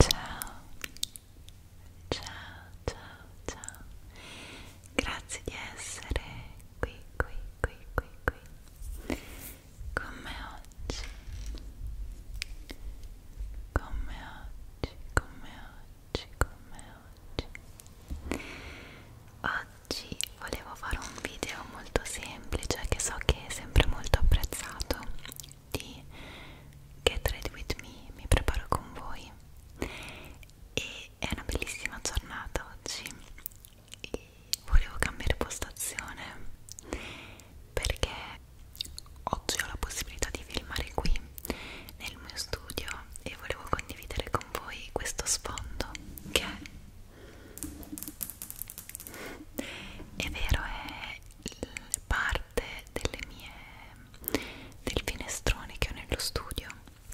Ciao, ciao, ciao, ciao. Grazie di essere qui, qui, qui, qui, qui con me oggi come oggi come oggi come oggi oggi volevo fare un video molto semplice che so che è sempre molto apprezzato di Get Ready With Me mi preparo con voi e è una bellissima giornata oggi e volevo cambiare postazione perché oggi ho la possibilità di filmare qui nel mio studio e volevo condividere con voi questo sfondo che è, è vero è parte delle mie del finestrone che ho nello studio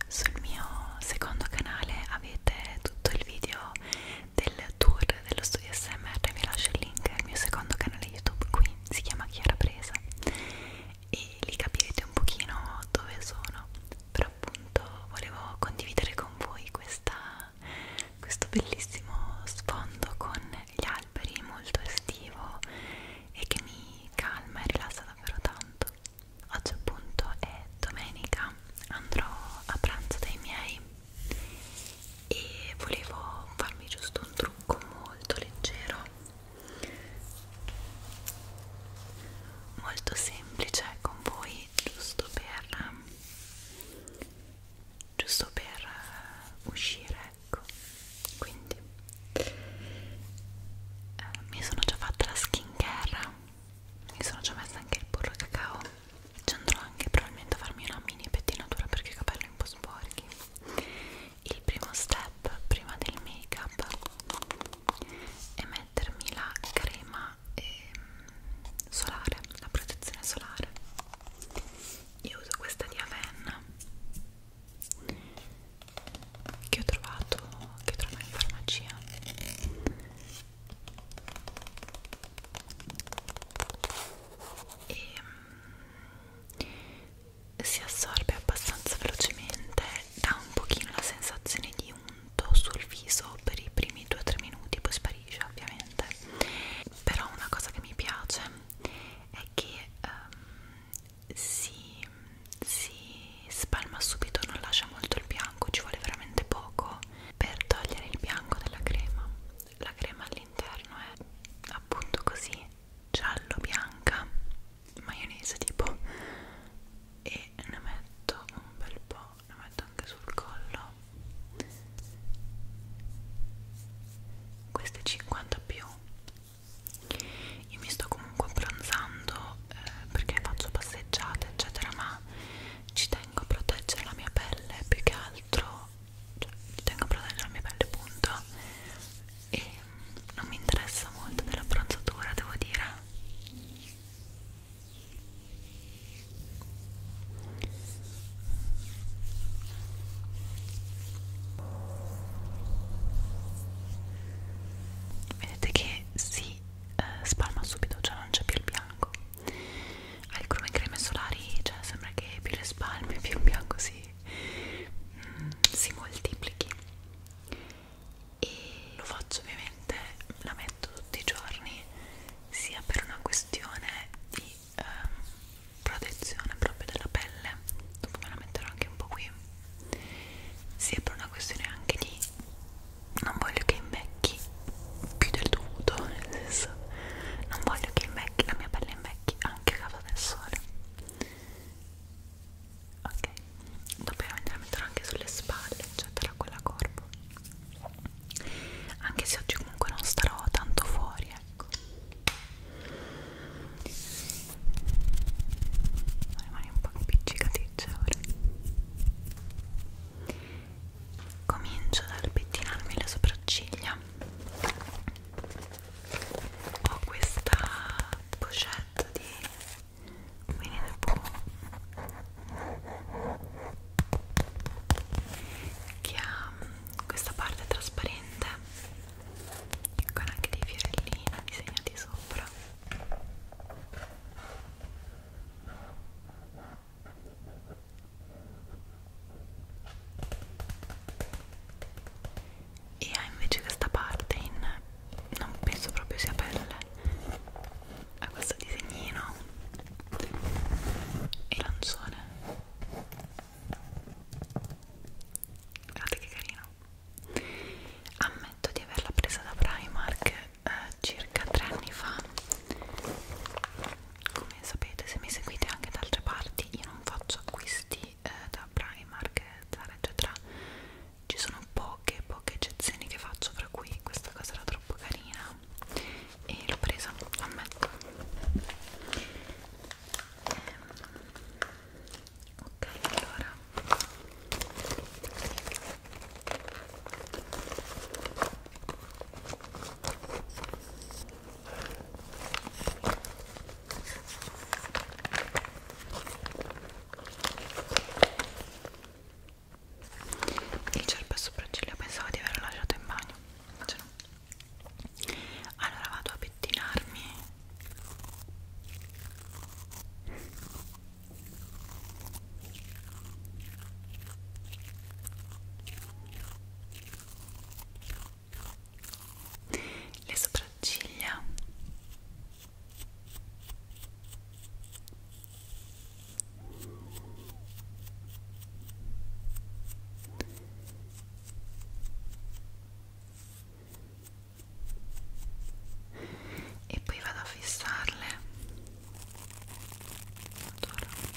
sul mio secondo canale avete tutto il video del tour dello studio corso di smr vi lascio il link al mio secondo canale youtube qui si chiama Chiara Presa e lì capirete un pochino dove sono però appunto volevo condividere con voi questa, questo bellissimo sfondo con gli alberi molto estivo e che mi calma e rilassa davvero tanto oggi appunto è domenica andrò a pranzo dai miei e volevo farmi giusto un trucco molto leggero molto semplice con voi giusto per giusto per eh, uscire ecco quindi eh, mi sono già fatta la skincare mi sono già messa anche il burro cacao ci andrò anche probabilmente a farmi una mini pettinatura perché i capelli un po' sporchi il primo step prima del make up è mettermi la crema eh, solare la protezione solare io uso questa di Avenna che ho trovato che trovo in farmacia e ehm, si assorbe abbastanza velocemente, dà un pochino la sensazione di unto sul viso per i primi 2-3 minuti, poi sparisce ovviamente. Però una cosa che mi piace è che um, si, si spalma subito, non lascia molto il bianco, ci vuole veramente poco per togliere il bianco dalla crema. La crema all'interno è appunto così giallo bianca maionese tipo e ne metto un bel po' ne metto anche sul collo queste 50 più io mi sto comunque abbronzando eh, perché faccio passeggiate eccetera ma ci tengo a proteggere la mia pelle più che altro cioè, ci tengo a proteggere la mia pelle punto e non mi interessa molto dell'abbronzatura devo dire vedete che si eh, spalma subito cioè non c'è più il bianco alcune creme solari cioè sembra che più le spalmi più il bianco si mm, si moltiplichi e lo faccio ovviamente, la metto tutti i giorni sia per una questione di eh, protezione proprio della pelle dopo me la metterò anche un po' qui sia per una questione anche di non voglio che invecchi più del dovuto nel senso non voglio che invecchi la mia pelle invecchi anche a causa scorta del sole ok dopo me la metterò anche sulle spalle eccetera cioè quella corpo anche se oggi comunque non starò tanto fuori ecco rimane un po' impiccicaticcia ora comincio dal pettinarmi le sopracciglia ho questa pochette di Winnie the Pooh che ha mm, questa parte trasparente con anche dei fiorellini disegnati sopra e ha invece questa parte in non penso proprio sia pelle ha questo disegnino e lancione guardate che carino ammetto di averla presa da Primark eh, circa tre anni fa come sapete se mi seguite anche da altre parti io non faccio acquisti acquisti eh, da Primark, Zara eccetera ci sono poche poche eccezioni che faccio fra cui questa cosa era troppo carina e l'ho presa ammetto ehm, ok allora il cerpo e sopracciglia pensavo di averlo lasciato in bagno, invece no. Allora vado a pettinarmi le sopracciglia e poi vado a fissarle Adoro.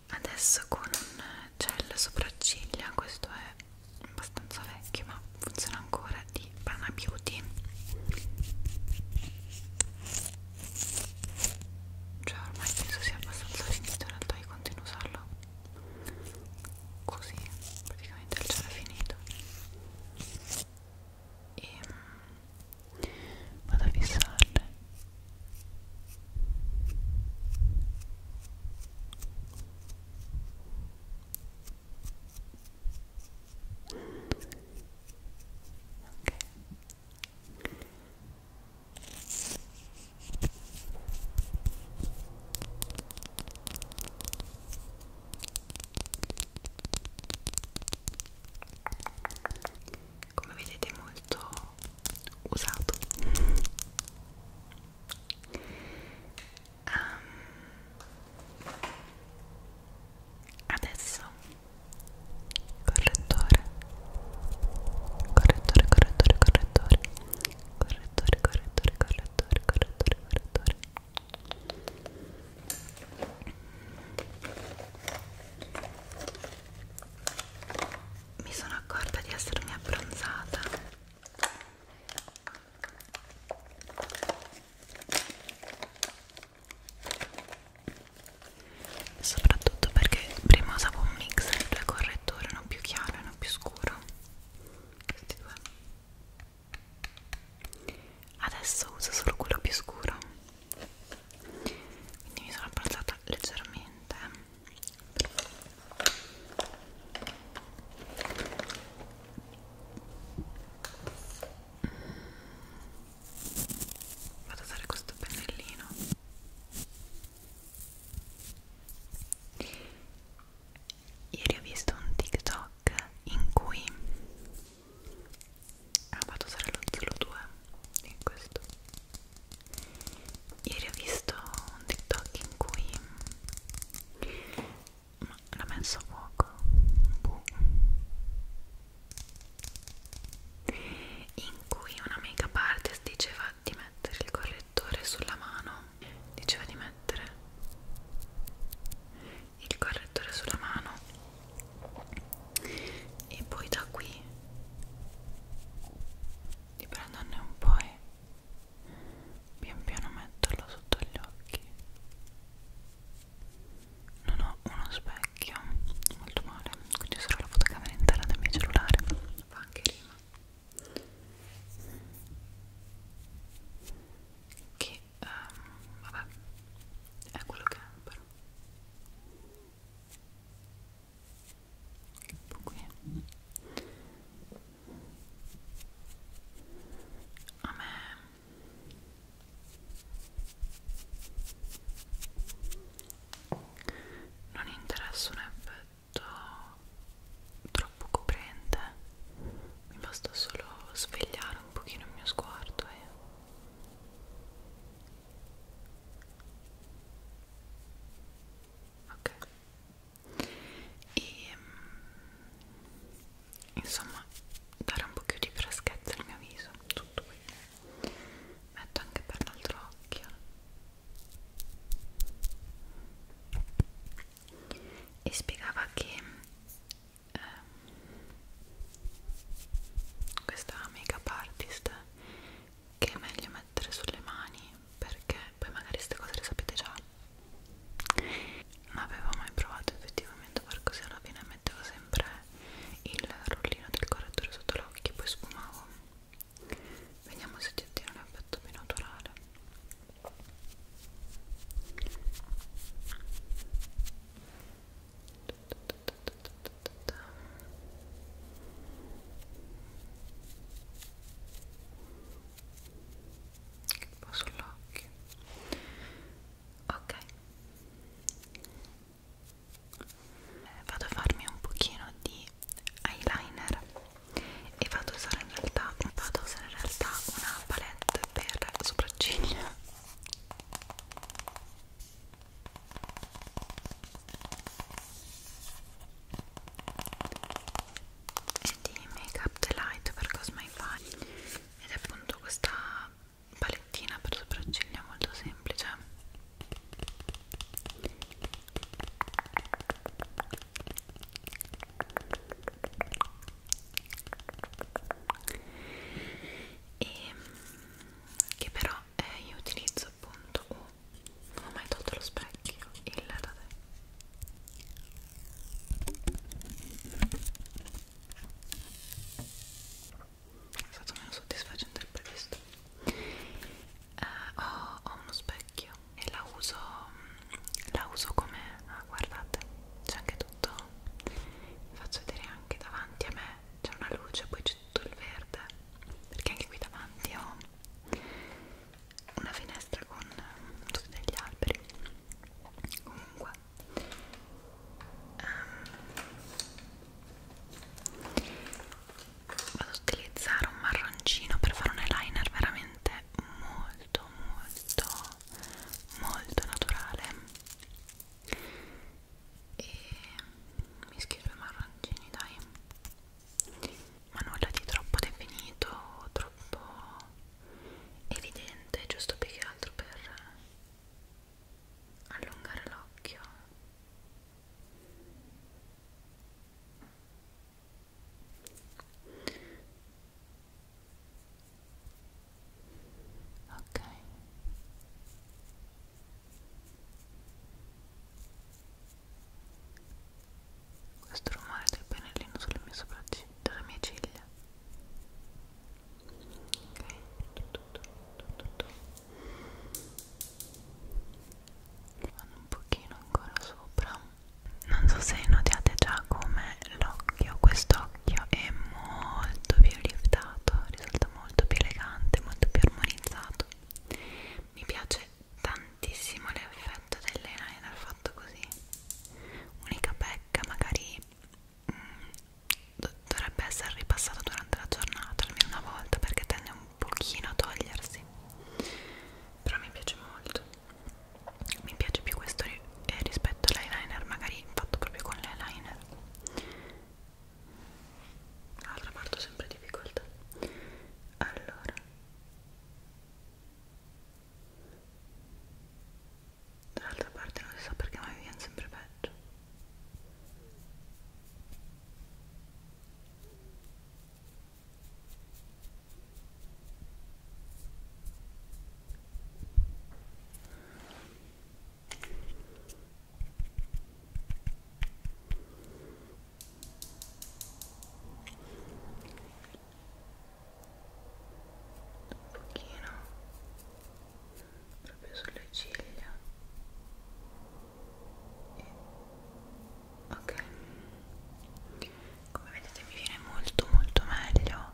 adesso con un gel sopracciglia questo è abbastanza vecchio ma funziona ancora di Pana Beauty cioè ormai penso sia abbastanza finito in realtà io continuo a usarlo così praticamente il gel è finito e ehm, vado a fissarle come vedete molto usato Um, adesso correttore correttore correttore correttore correttore correttore correttore correttore correttore mi sono accorta di essermi abbronzata soprattutto perché prima usavo un mix di due correttori, uno più chiaro e uno più scuro questi due adesso uso solo quello più scuro quindi mi sono abbassata leggermente Vado a usare questo pennellino Ieri ho visto un TikTok in cui ah, vado a usare lo 02 in questo Ieri ho visto un TikTok in cui l'ha messo a fuoco. Boh. In cui una make-up artist diceva di mettere il correttore sulla mano. Diceva di mettere il correttore sulla mano e poi da qui di prenderne un po' e pian piano metterlo sotto gli occhi non ho uno specchio molto male quindi sarà la fotocamera interna del mio cellulare fa anche rima che um, vabbè è quello che è però qui a me non interessa un effetto troppo coprente mi basta solo svegliare un pochino il mio sguardo e ok e mm, insomma dare un po' più di freschezza al mio viso tutto qui metto anche per l'altro occhio e spiegava che eh, questa make up artist che è meglio mettere sulle mani perché poi magari queste cose le sapete già non avevo mai provato effettivamente a far così alla fine mettevo sempre il rollino del correttore sotto l'occhio e poi sfumavo vediamo se ti ottiene un effetto più naturale un po' sull'occhio ok eh, vado a farmi un pochino di eyeliner e vado a usare in realtà, vado a usare in realtà una palette per sopracciglia e di Make Up Delight per Cosmai File ed è appunto questa palettina per sopracciglia molto semplice e che però eh, io utilizzo appunto non ho mai tolto lo specchio il da è stato meno soddisfacente del previsto eh, ho, ho uno specchio e la uso la uso come ah, guardate c'è anche tutto vi faccio vedere anche davanti a me c'è una luce poi c'è tutto il verde perché anche qui davanti ho una finestra con ehm, tutti degli alberi comunque um, vado ad utilizzare un marroncino per fare un eyeliner veramente molto molto molto naturale e mischio i due marroncini dai ma nulla di troppo definito, troppo evidente, giusto più che altro per allungare l'occhio. Ok questo rumore del pennellino sulle mie sopracciglia, sulle mie ciglia. Ok, tutto, tutto, tutto. Vado un pochino ancora sopra. Non so se notate già come l'occhio, quest'occhio è molto più liftato, risulta molto più elegante, molto più armonizzato. Mi piace piace tantissimo l'effetto dell'eyeliner fatto così unica pecca magari mh, mm, dovrebbe essere ripassato durante la giornata almeno una volta perché tende un pochino a togliersi però mi piace molto mi piace più questo ri eh, rispetto all'eyeliner magari fatto proprio con l'eyeliner L'altra parte ho sempre difficoltà allora Dall'altra parte non si sa perché ma mi viene sempre peggio un pochino proprio sulle ciglia e... ok come vedete mi viene molto molto meglio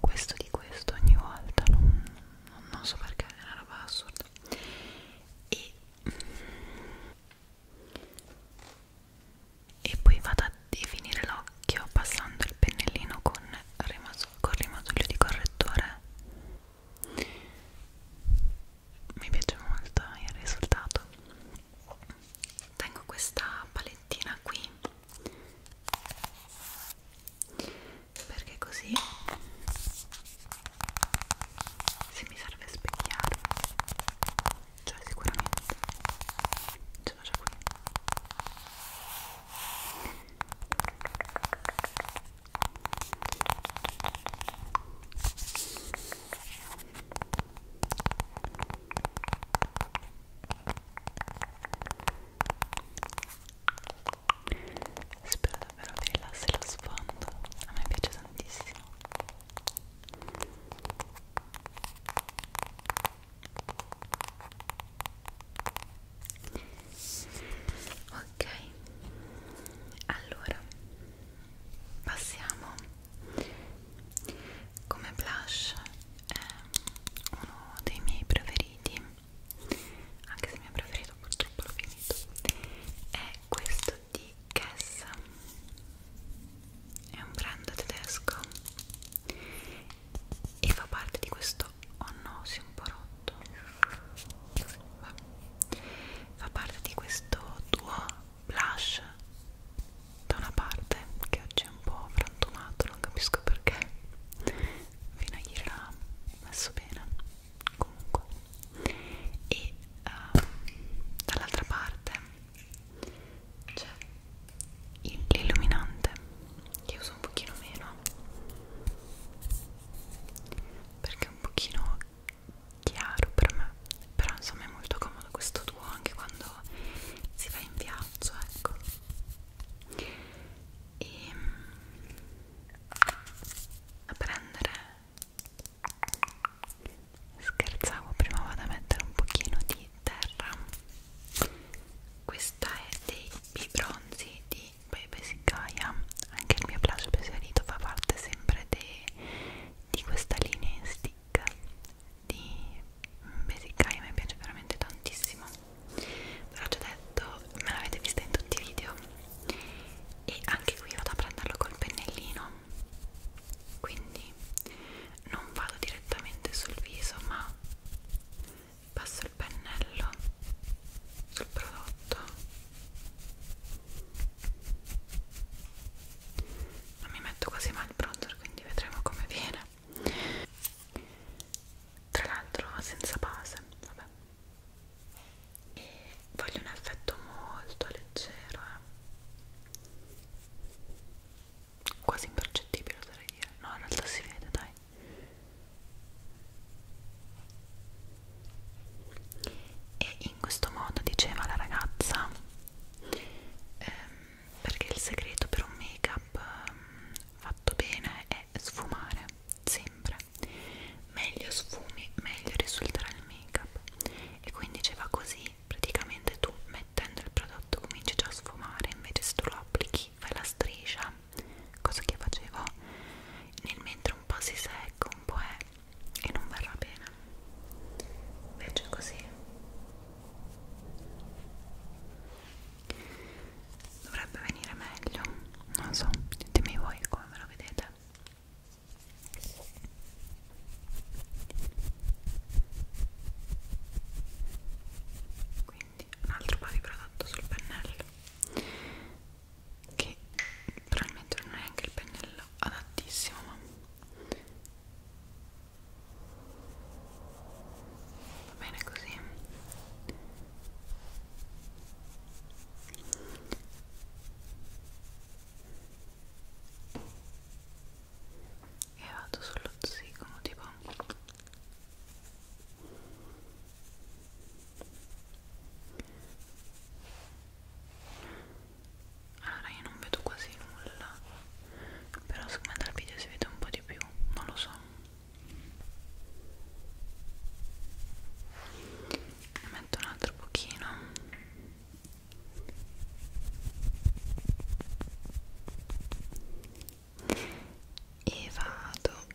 questo di questo ogni volta non, non, non so perché è una roba assurda e e poi vado a definire l'occhio passando il pennellino con il rimasuglio di correttore mi piace molto il risultato tengo questa palettina qui perché così se mi serve specchiare cioè sicuramente ce l'ho già qui Spero davvero che rilassi lo sfondo, a me piace tantissimo ok allora passiamo come blush è uno dei miei preferiti anche se il mio preferito purtroppo l'ho finito è questo di Kess è un brand tedesco e fa parte di questo oh no si è un po' rotto Beh. fa parte di questo duo blush da una parte che oggi è un po' frantumato non capisco perché fino a ieri l'ha messo bene comunque e uh, dall'altra parte c'è l'illuminante che uso un pochino meno perché è un pochino chiaro per me però insomma è molto comodo questo tuo anche quando si va in viaggio ecco e ehm, a prendere scherzavo prima vado a mettere un pochino di terra questa è dei bibronzi di Bebe Sigaia anche il mio plagio preferito fa parte sempre de, di questa linea in stick di Besicaia mi piace veramente tantissimo ve l'ho già detto, me l'avete vista in tutti i video e anche qui vado a prenderlo col pennellino quindi non vado direttamente sul viso ma passo il pennello sul prodotto non mi metto quasi mai il bronzer quindi vedremo come viene tra l'altro senza base vabbè e voglio un effetto molto leggero eh quasi impercettibile oserei dire no in realtà si vede dai e in questo modo diceva la ragazza ehm, perché il segreto per un make up ehm, fatto bene è sfumare sempre meglio sfumi meglio risulterà il make up e quindi diceva così praticamente tu mettendo il prodotto cominci già a sfumare invece se tu lo applichi fai la striscia cosa che facevo nel mentre un po' si secca un po' è e non verrà bene invece così dovrebbe venire meglio non so ditemi voi come ve lo vedete quindi un altro po' di prodotto sul pennello che probabilmente non è anche il pennello adattissimo ma va bene così e vado sullo zigomo tipo allora io non vedo quasi nulla però siccome dal video si vede un po' di più non lo so ne metto un altro pochino e vado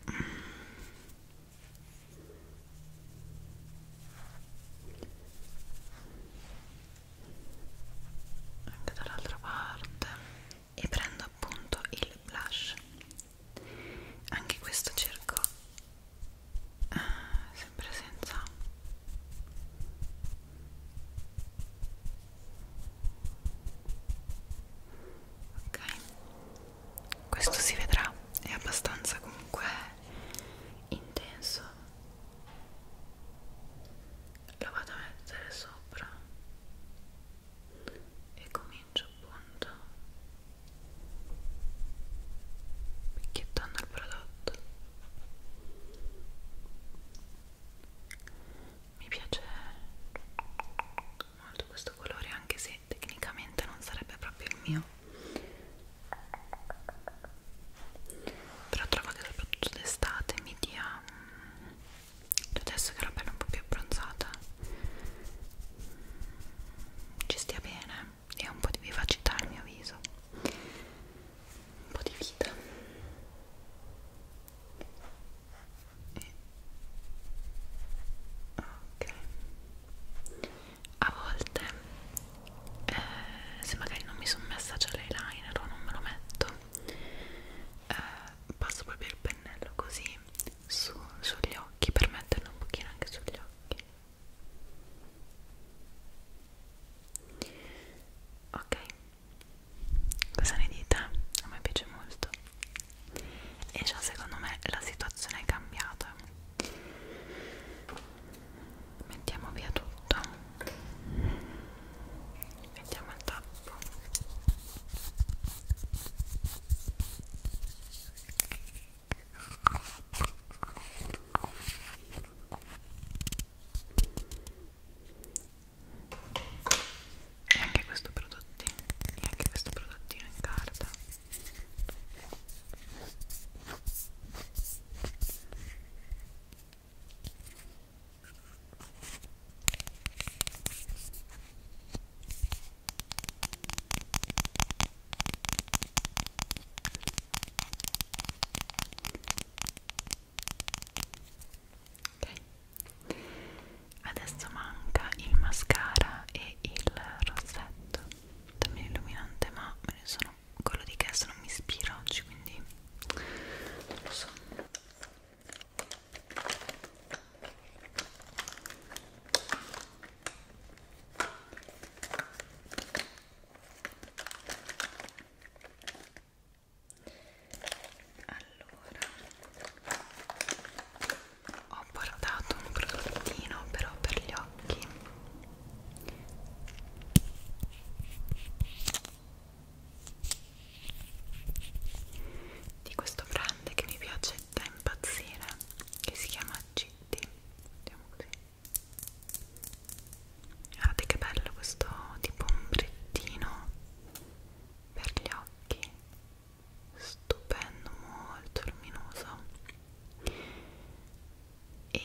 anche dall'altra parte e prendo appunto il blush anche questo cerco ah, sempre senza ok questo si vedrà è abbastanza comunque intenso lo vado a mettere sopra e comincio appunto picchiettando il prodotto mi piace molto questo colore anche se tecnicamente non sarebbe proprio il mio però trovo che soprattutto d'estate mi dia mm, adesso che la pelle è un po' più abbronzata ci stia bene e un po' di vivacità al mio viso un po' di vita e... ok a volte eh, se magari non mi sono messa già l'eyeliner o non me lo metto eh, passo proprio il pennello così su, sugli occhi per metterlo un pochino anche sugli occhi ok cosa ne dite? a me piace molto e già secondo me la situazione è cambiata mettiamo via tutto mettiamo il tappo e anche questo prodottino e anche questo prodottino in carta ok adesso manca il mascara e il rossetto dammi l'illuminante ma me ne sono quello di Kess non mi ispira oggi quindi non lo so allora ho portato un prodottino però per gli occhi di questo brand che mi piace da impazzire che si chiama Gitti vediamo così guardate che bello questo tipo ombrettino per gli occhi stupendo molto luminoso e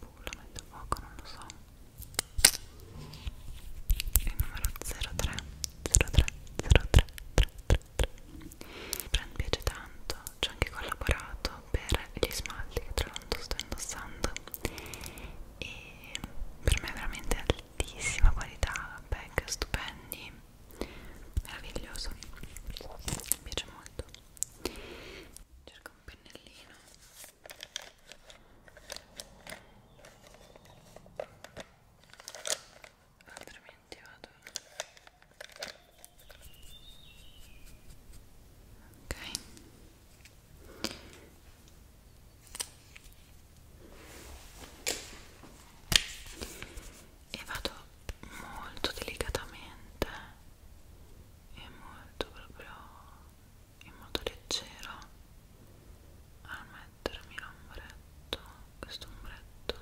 uh, lo metto a poco non lo so il numero 03 03 03 33 brand piace tanto ci ho anche collaborato per gli smalti che tra l'altro sto indossando e per me è veramente altissima qualità pack stupendi meraviglioso mi piace molto cerco un pennellino altrimenti vado ok e vado molto delicatamente e molto proprio in modo leggero a mettermi l'ombretto questo ombretto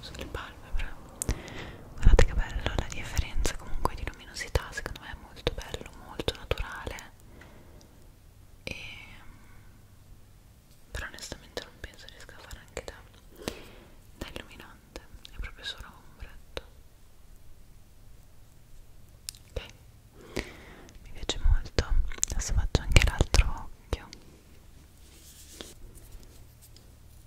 sulle palpebre guardate che bella la differenza comunque di luminosità secondo me è molto bello, molto naturale e però onestamente non penso riesca a fare anche da, da illuminante è proprio solo ombretto ok mi piace molto adesso faccio anche l'altro occhio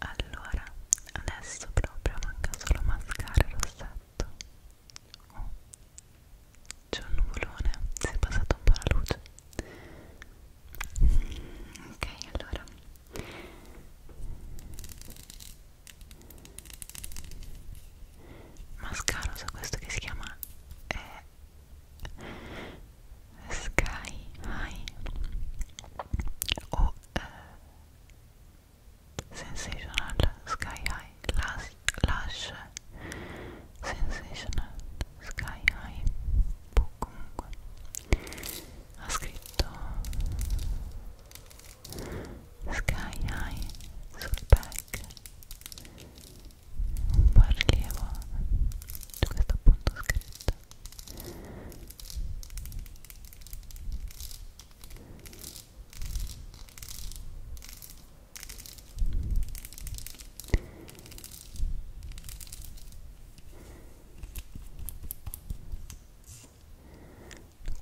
Allora, adesso proprio manca solo mascara e rossetto. Oh. C'è un nuvolone, si è passata un po' la luce. Mm, ok, allora. Mascara usa questo che si chiama eh, sky high or oh, uh, sensational sky high lash, lash uh, sensational sky high comunque ha scritto sky high sul back un po' rilievo su questo appunto scritto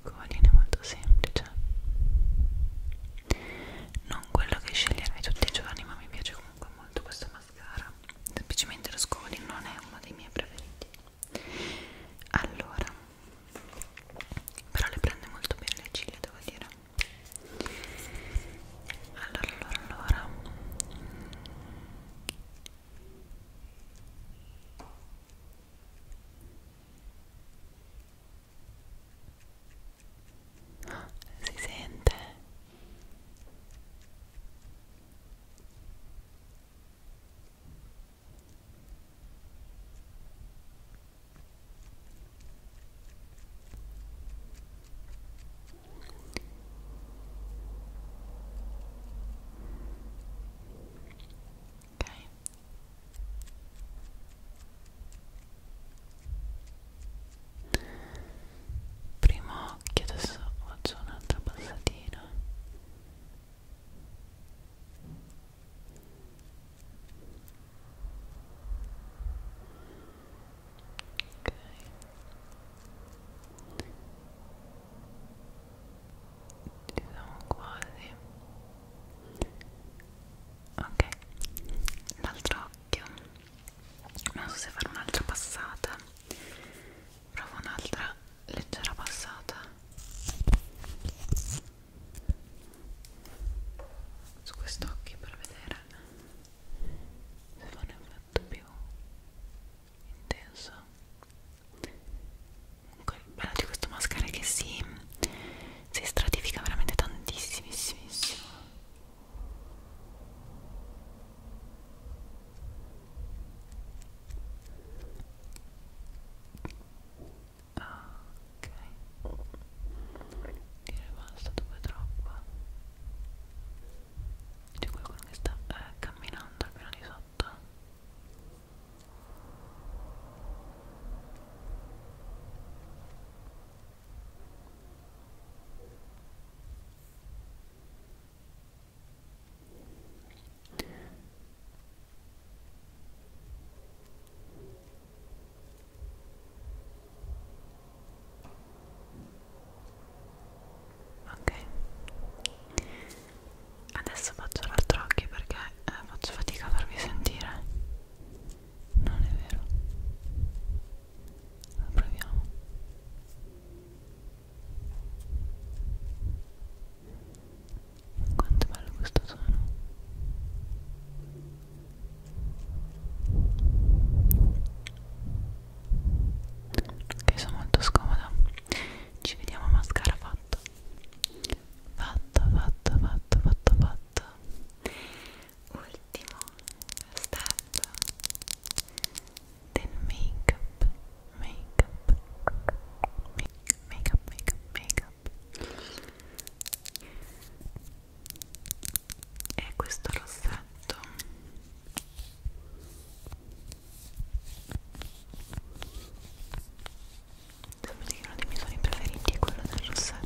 Covalina molto semplice non quello che sceglierai tutti i giorni ma mi piace comunque molto questo mascara semplicemente lo scoli non è uno dei miei preferiti allora però le prende molto bene le ciglia devo dire allora allora allora si sente? Ok primo occhio adesso faccio un'altra passatina ok ci siamo quasi ok l'altro nell'occhio non so se fare un'altra passata provo un'altra leggera passata su quest'occhio per vedere se fa un effetto più intenso comunque il bello di questo mascara è che si, si stratifica veramente tantissimissimo Ah, ok. È rimasto dove troppo. C'è qualcuno che sta eh, camminando al piano di sotto. Ok, adesso faccio l'altro occhio perché eh, faccio fatica a farvi sentire. Non è vero. Lo proviamo. Quanto è bello questo suono. Ok, sono molto scomoda. Ci vediamo mascara fatto. Fatto, fatto, fatto, fatto, fatto ultimo step del make up make up make up make up make up è questo rossetto sapete che uno dei miei suoni preferiti è quello del rossetto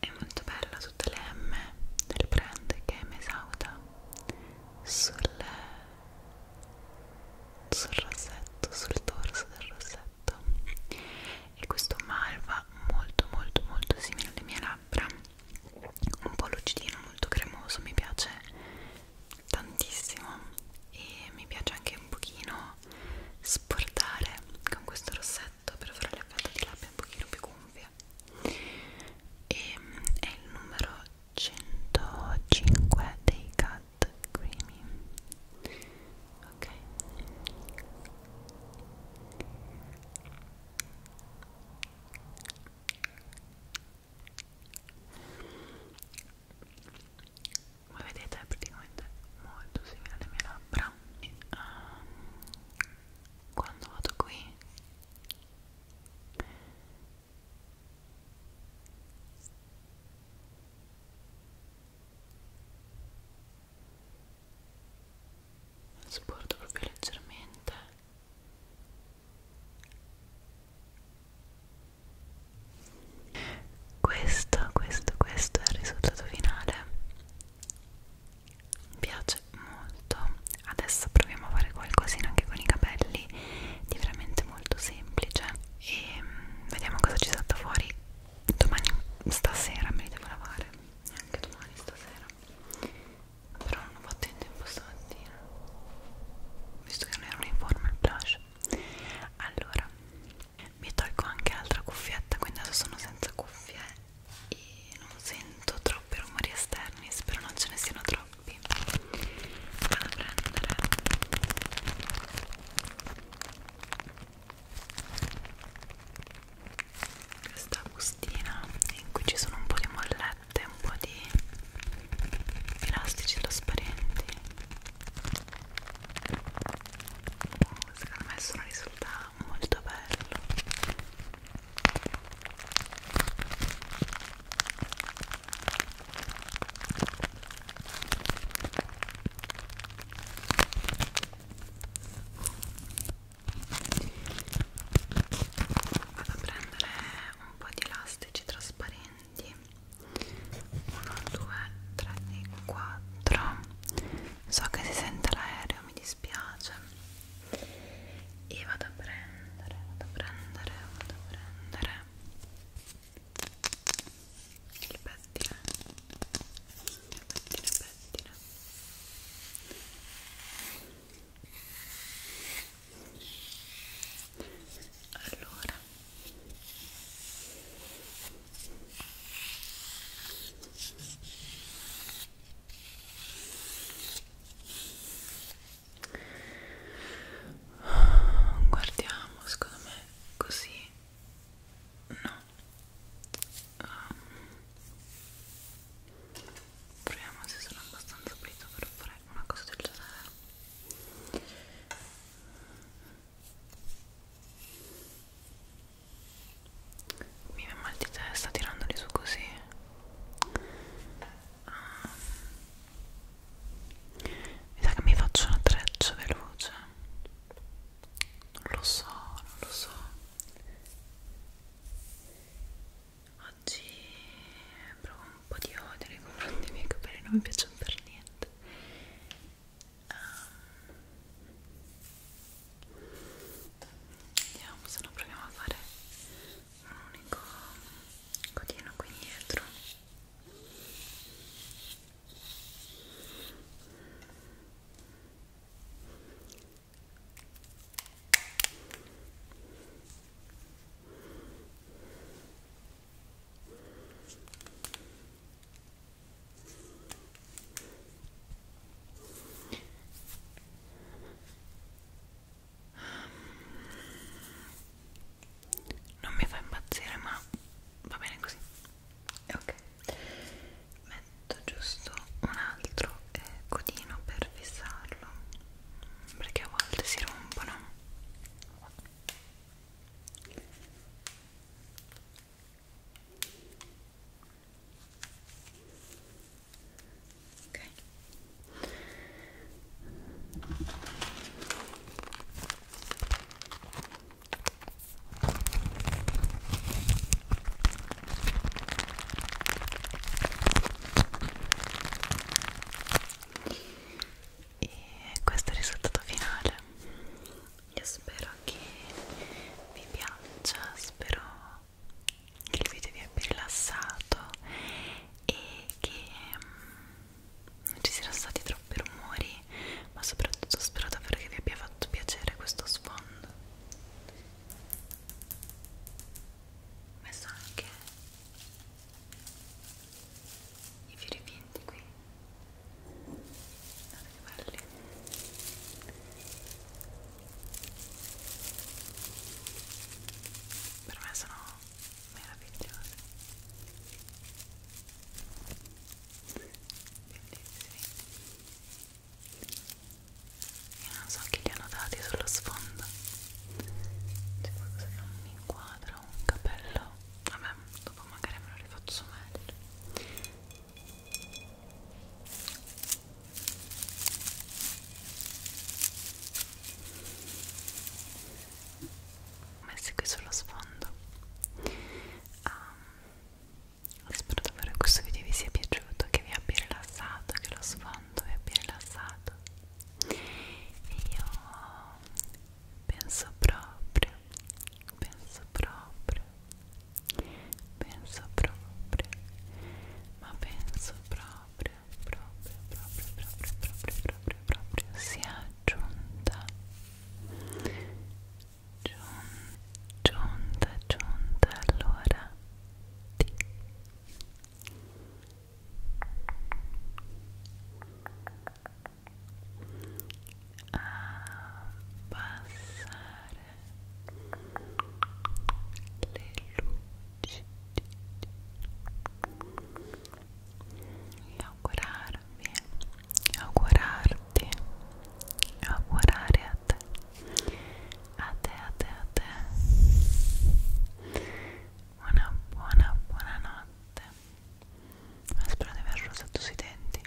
è molto bella tutte le M del brand che è Mesauda sul, sul rossetto, sul dorso del rossetto e questo malva molto molto molto simile alle mie labbra un po' lucidino, molto cremoso, mi piace tantissimo e mi piace anche un pochino sportare con questo rossetto effetto per fare l'effetto di labbra un pochino più gonfia e ehm, è il numero 105 dei Cat Creamy ok come vedete è praticamente molto simile alle mie labbra anni um, ehm, quando vado qui sporto proprio leggermente questo questo questo è il risultato finale mi piace molto adesso proviamo a fare qualcosina anche con i capelli di veramente molto semplice e mm, vediamo cosa ci salta fuori domani stasera me li devo lavare anche domani stasera però non ho fatto in tempo stamattina visto che non ero in forma il blush allora mi tolgo anche l'altra cuffietta quindi adesso sono senza cuffie e non sento troppi rumori esterni spero non ce ne siano troppi vado a prendere questa bustina in cui ci sono un po' di mollette un po' di elastici trasparenti oh, secondo me sono risultati era molto bello vado a prendere un po' di elastici trasparenti 1, 2, 3, 4 so che si sente l'aereo mi dispiace e vado a prendere vado a prendere vado a prendere il pettine il pettine pettine allora guardiamo secondo me così no um, proviamo se sono abbastanza pulito per fare una cosa del genere mi viene mal di testa tirandoli su così ah. mi sa che mi faccio una treccia veloce non lo so, non lo so oggi provo un po' di odio nei confronti miei capelli non mi piacciono per niente um, vediamo se lo proviamo a fare un unico codino qui dietro ok non mi fa impazzire ma va bene così ok metto giusto un altro eh, codino per fissarlo perché a volte si rompono ok e questo è il risultato finale io spero che vi piaccia spero che il video vi abbia rilassato e che mm, non ci siano stati troppi rumori ma soprattutto spero davvero che vi abbia fatto piacere questo sfondo ho messo anche i fiori finti qui non che belli per me sono meravigliosi bellissimi io non so chi li hanno dati sullo sfondo c'è qualcosa che non mi inquadra un cappello vabbè dopo magari me lo rifaccio meglio messi qui sullo sfondo um, spero davvero che questo video vi sia piaciuto che vi abbia rilassato che lo sfondo vi abbia rilassato e io penso proprio penso proprio penso proprio ma penso proprio proprio proprio proprio proprio proprio proprio sia giunta giunta giunta allora di a passare le luci e augurarvi, augurarti, augurare a te, a te, a te, a te una buona, buona notte spero di aver rosato sui denti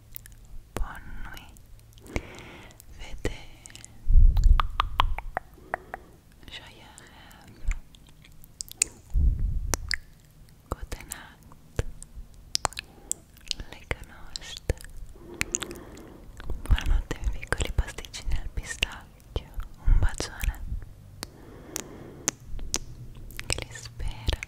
Buon Vede Joya have Good night Lega Nost Buonanotte i piccoli pasticcini al pistacchio Un bacione Che li spera